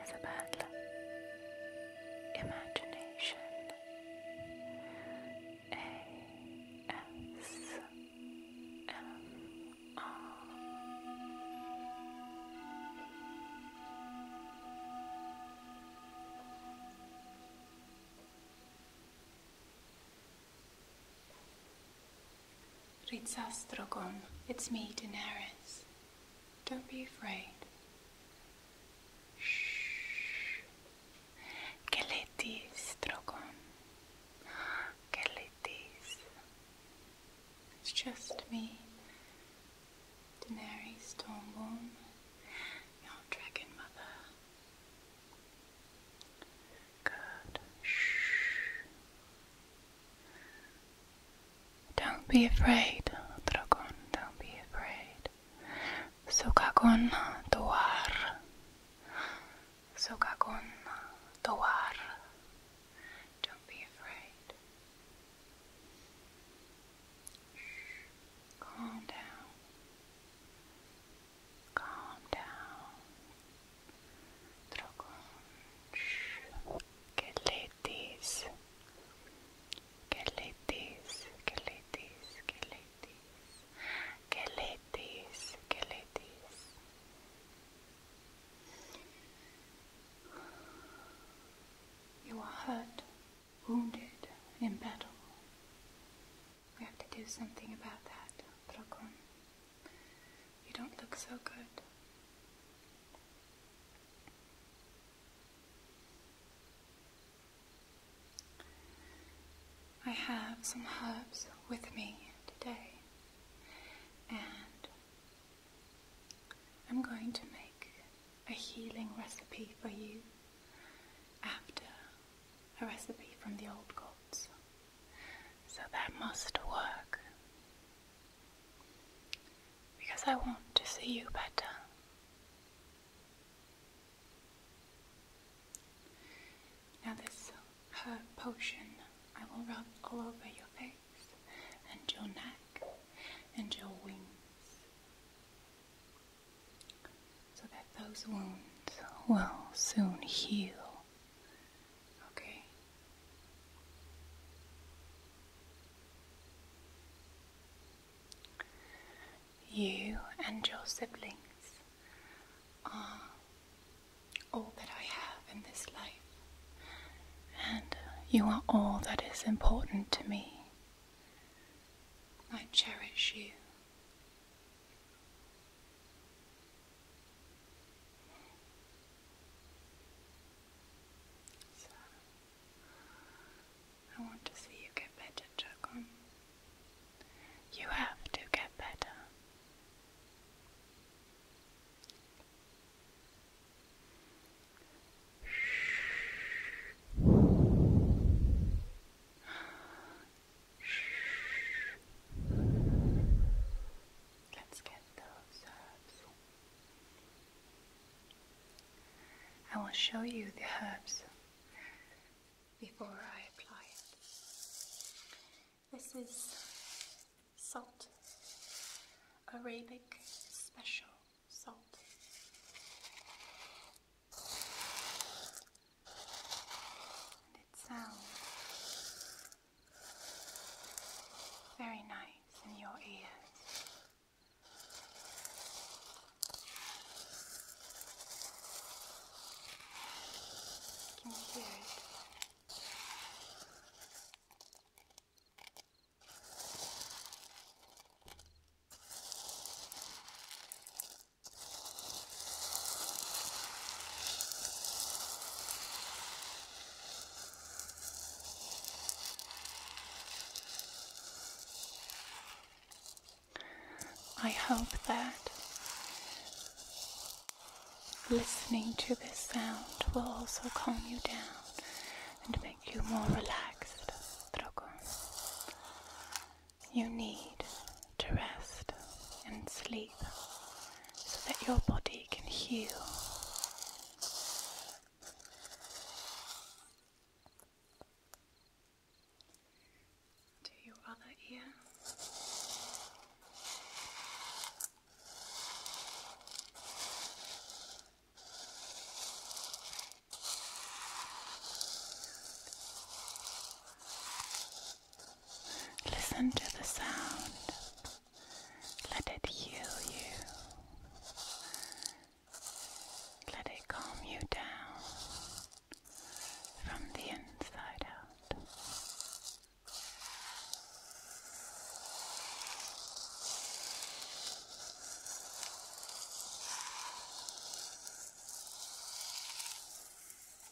is about imagination. A S M R. Ritsastragon, it's me, Daenerys. Don't be afraid. Shh. Gelitis, Drogon. Gelitis. It's just me, Daenerys Stormborn, your dragon mother. Good. Shh. Don't be afraid, dragon. Don't be afraid. Sukakon tuar. Sukakon tuar. Don't be afraid. Shh. Calm down. Calm down. Drogon. Geletis. Geletis. Geletis. Geletis. Geletis. Geletis. You are hurt, wounded in battle. We have to do something about that, Drogon. You don't look so good. I have some herbs with me today, and I'm going to make a healing recipe for you after a recipe from the old gods. So that must work. Because I want to see you better. Now, this potion I will rub all over your face and your neck and your wings so that those wounds will soon heal Okay. You and your siblings are all that I have in this life, and you are all that is important to me. I cherish you. I want to see you get better, Dragon. You have to get better. Let's get those herbs. I will show you the herbs before I apply it. This is salt, Arabic special salt it sounds very nice in your ears. You hear it. I hope that listening to this sound will also calm you down and make you more relaxed you need to rest and sleep so that your body can heal. To your other ear. Listen to the sound. Let it heal you. Let it calm you down from the inside out.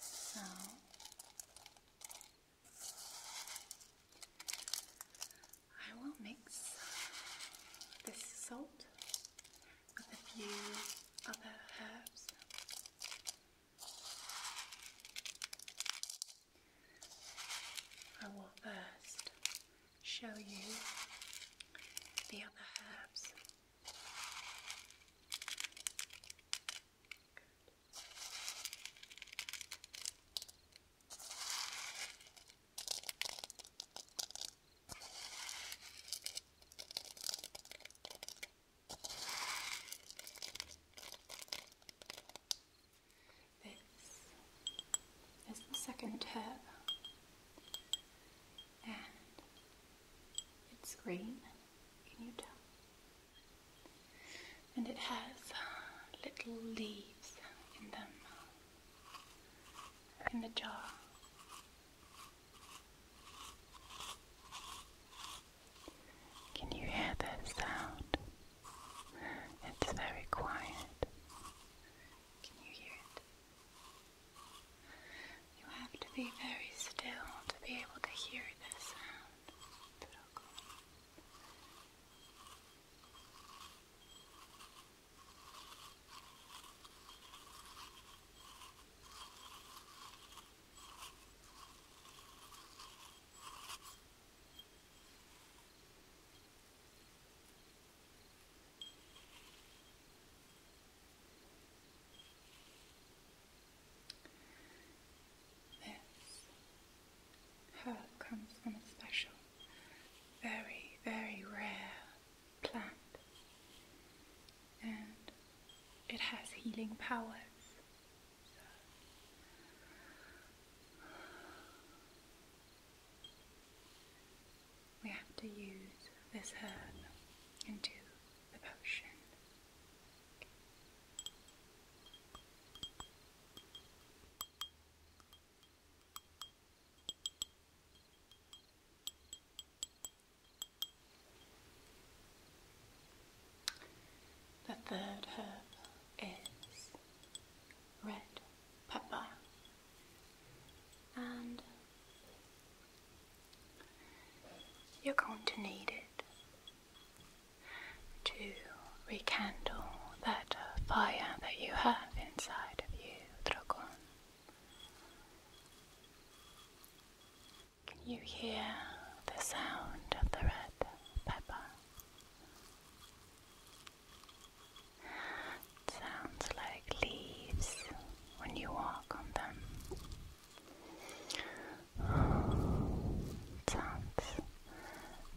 So I will mix this salt with a few other herbs. I will first show you the other herbs this is the second herb, and it's green, can you tell? And it has uh, little leaves in them, uh, in the jar. Can you hear that sound? It's very quiet. Can you hear it? You have to be very still to be able to hear this sound. This comes from a special, very, very rare plant, and it has healing powers we have to use this herb into the potion. The third herb is red pepper, and you're going to need it to rekindle that uh, fire that you have inside of you, Drogon. Can you hear the sound of the red pepper? sounds like leaves when you walk on them. It sounds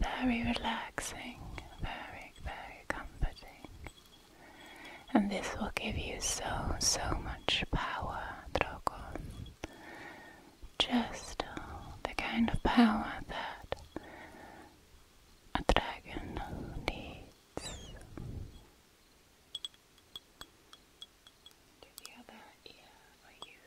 very relaxing, very, very comforting. And this will give you so, so much power, Drogon. Just uh, the kind of power that a dragon needs to the other ear for you.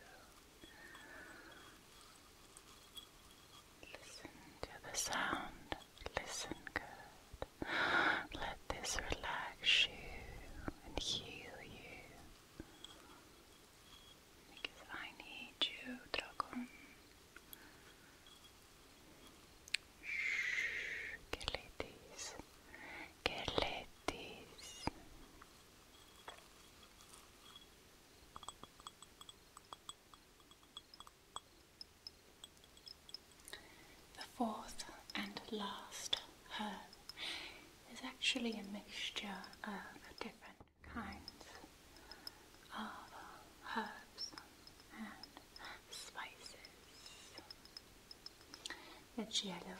Listen to the sound. Listen good. Let this relax you and heal you. Because I need you, Dragon. Shh, Galetis, Galetis. The fourth and last herb is actually a mixture of different kinds of herbs and spices. It's yellow,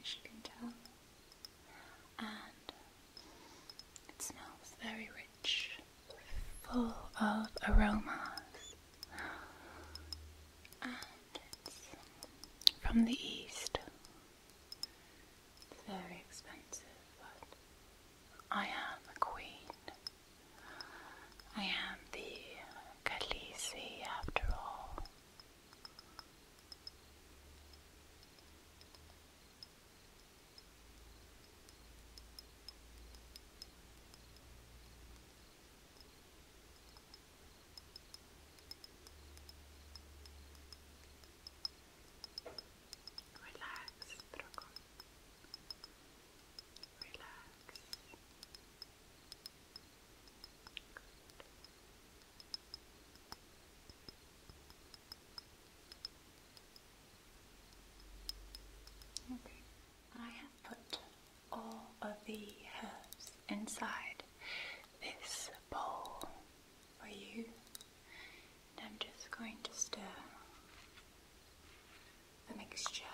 as you can tell, and it smells very rich, full of aromas. And it's from the east. It's very expensive, but I am a queen I am the Khaleesi after all. Relax, Drogon. Okay. I have put all of the herbs inside this bowl for you, and I'm just going to stir the mixture.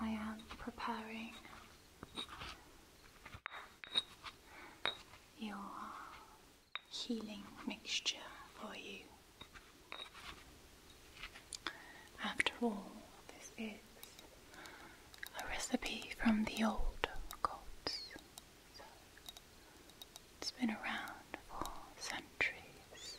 I am preparing your healing mixture for you. After all, this is a recipe from the old gods. it's been around for centuries.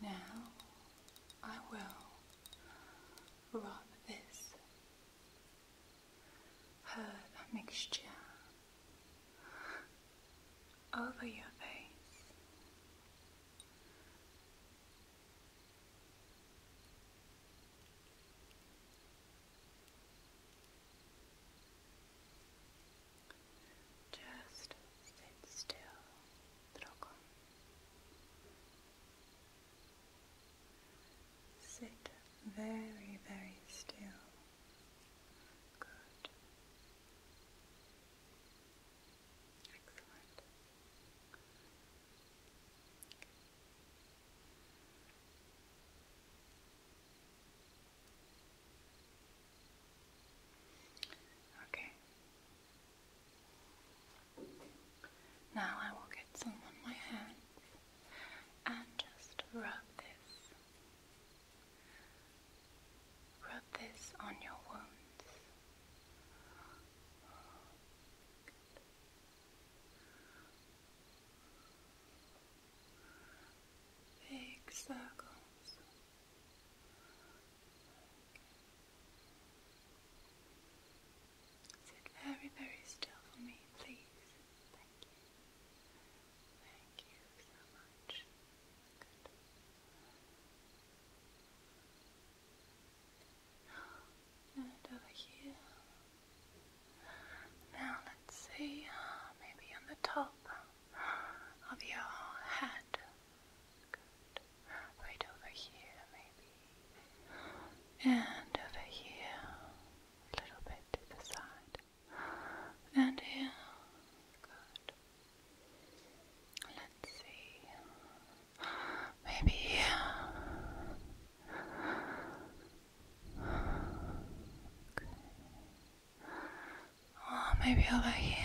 Now I will rub this herb mixture over your face. Just sit still, Sit very, very still. Good. Excellent. Okay. Now I will get some on my hand and just rub this. Rub this on your wounds. Big circles. Sit very, very still for me, please. Thank you. Thank you so much. And over here. Now let's see, uh, maybe on the top of your head. Right over here, maybe. And over here. A little bit to the side. And here. Let's see. Maybe here. Okay. maybe over here.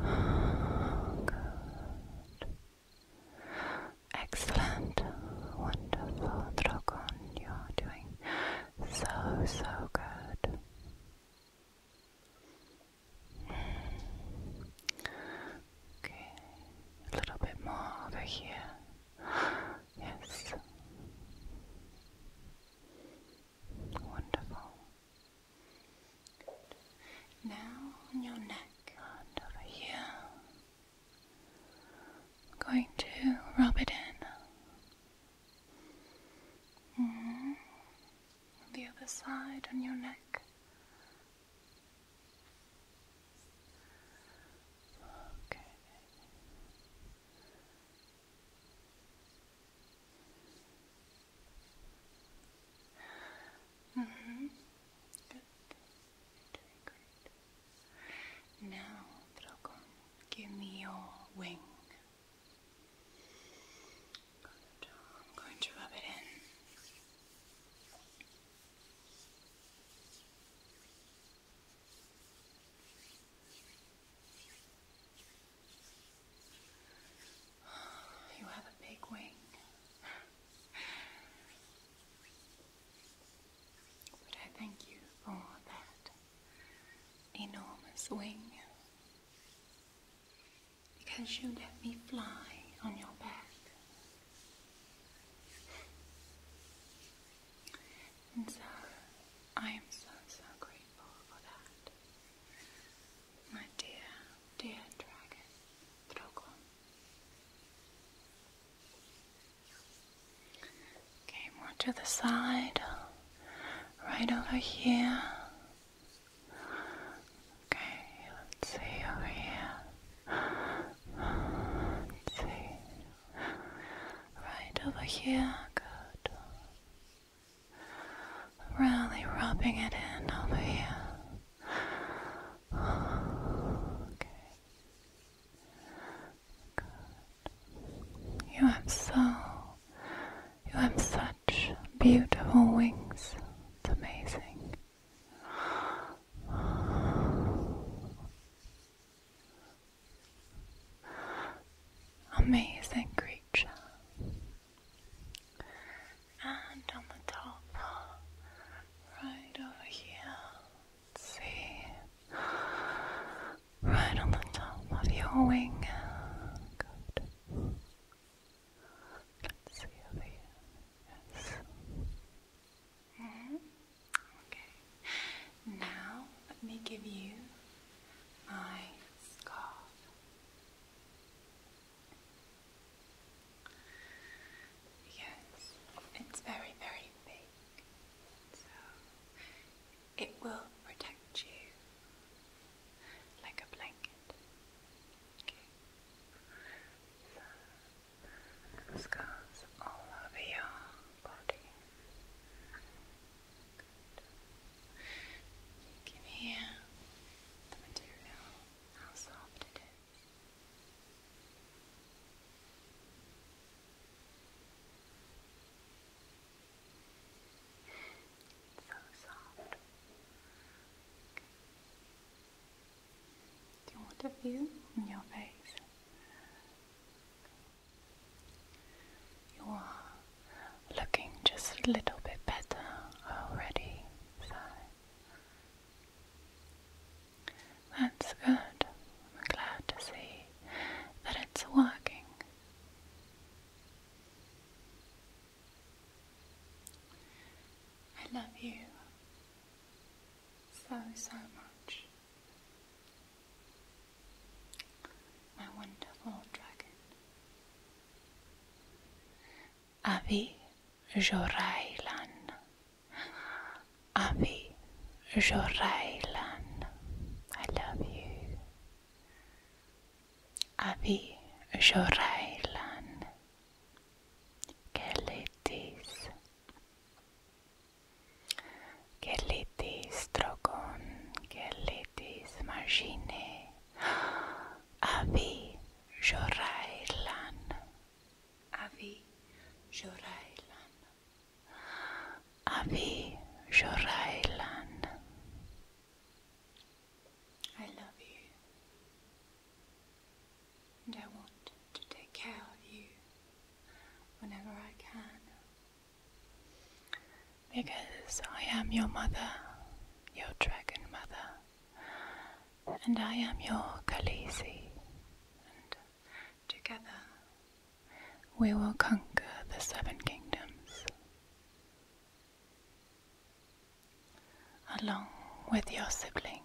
Oh, Excellent. Wonderful, Drogon. You're doing so, so good. Okay, a little bit more over here. Yes. Wonderful. Now on your neck over here. going to rub it in. Mm-hmm. On the other side on your neck. Okay. Now, Dragon, give me your wing. I'm going to rub it in. You have a big wing. But I thank you for that enormous wing. Because you let me fly on your back. And so I am so, so grateful for that. My dear, dear dragon, Drogon. Okay, more to the side, right over here. Okay, let's see over here. see. Right over here, good. Really rubbing it in over here. Okay. Good. You have so, you have such beautiful wings. It's amazing. Amazing creature. And on the top, right over here, see, right on the top of your wing. Good. Let's see over here. Yes. Mm Okay. Now let me give you my scarf. Yes, it's very, very thick, so it will protect you like a blanket. Okay. all over your body. You can hear the material, how soft it is. It's so soft. Do you want a view on your face? You are looking just a little bit better already, that's good. I'm glad to see that it's working. I love you so, so much. My wonderful dragon. Abi Jorailan. Abi Jorailan. I love you. Abi Jorailan. Quelle Gelitis trogon, gelitis margine, avi jorailan, avi jorailan, avi jorailan. I love you, and I want to take care of you whenever I can. Because I am your mother, your dragon mother, and I am your Khaleesi, and together we will conquer the seven kingdoms. Along with your siblings.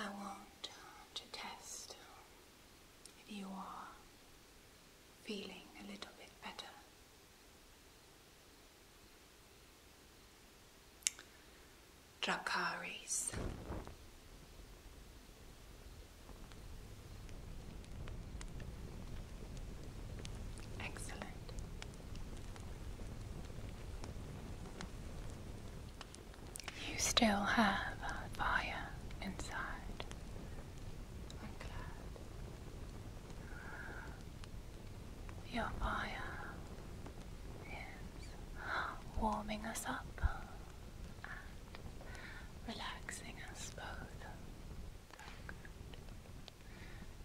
I want to test if you are feeling a little bit better. Dracaris. Excellent. You still have a fire inside. I'm glad. Your fire is warming us up and relaxing us both.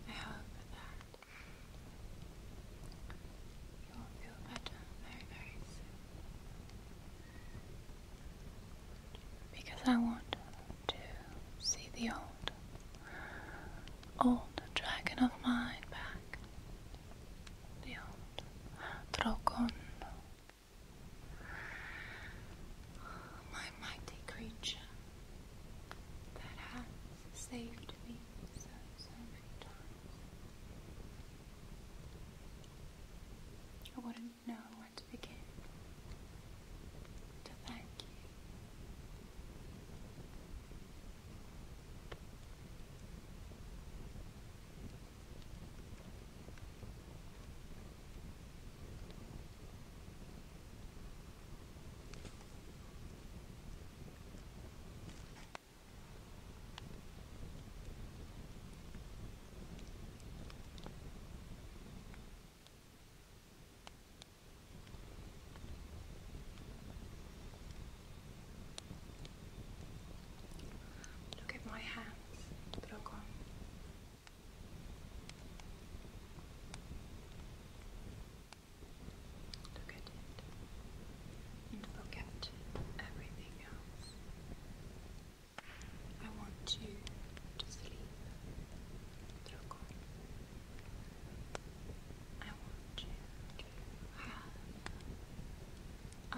I hope that you will feel better very, very soon. Because I want to see the old, old dragon of mine back. The old Dracon. My mighty creature that has saved me so, I wouldn't know where to begin to thank you. Look at my hands, look on. Look at it and everything else. I want you to sleep, Draco. I want you to have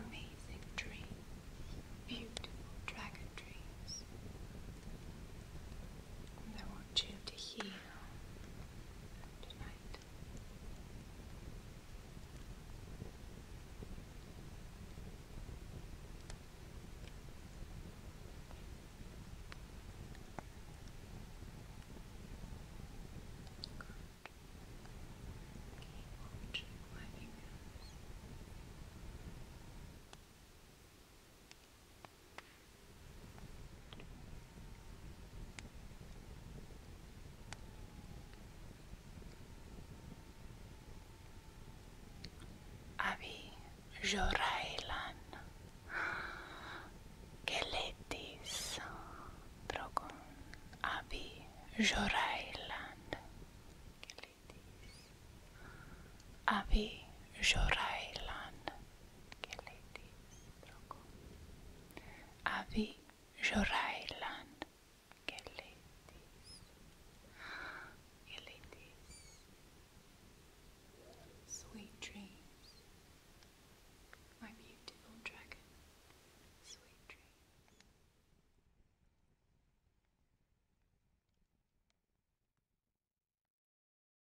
amazing dreams, beautiful dragon dreams. I want you to hear you tonight. Good. Keep watching my fingers. Good. Abi Jorailan Geletis Drogon Abi Jorailan Geletis Abi Jorailan Keleti Stroko Avi Jorailan Sweet dreams My beautiful dragon Sweet dreams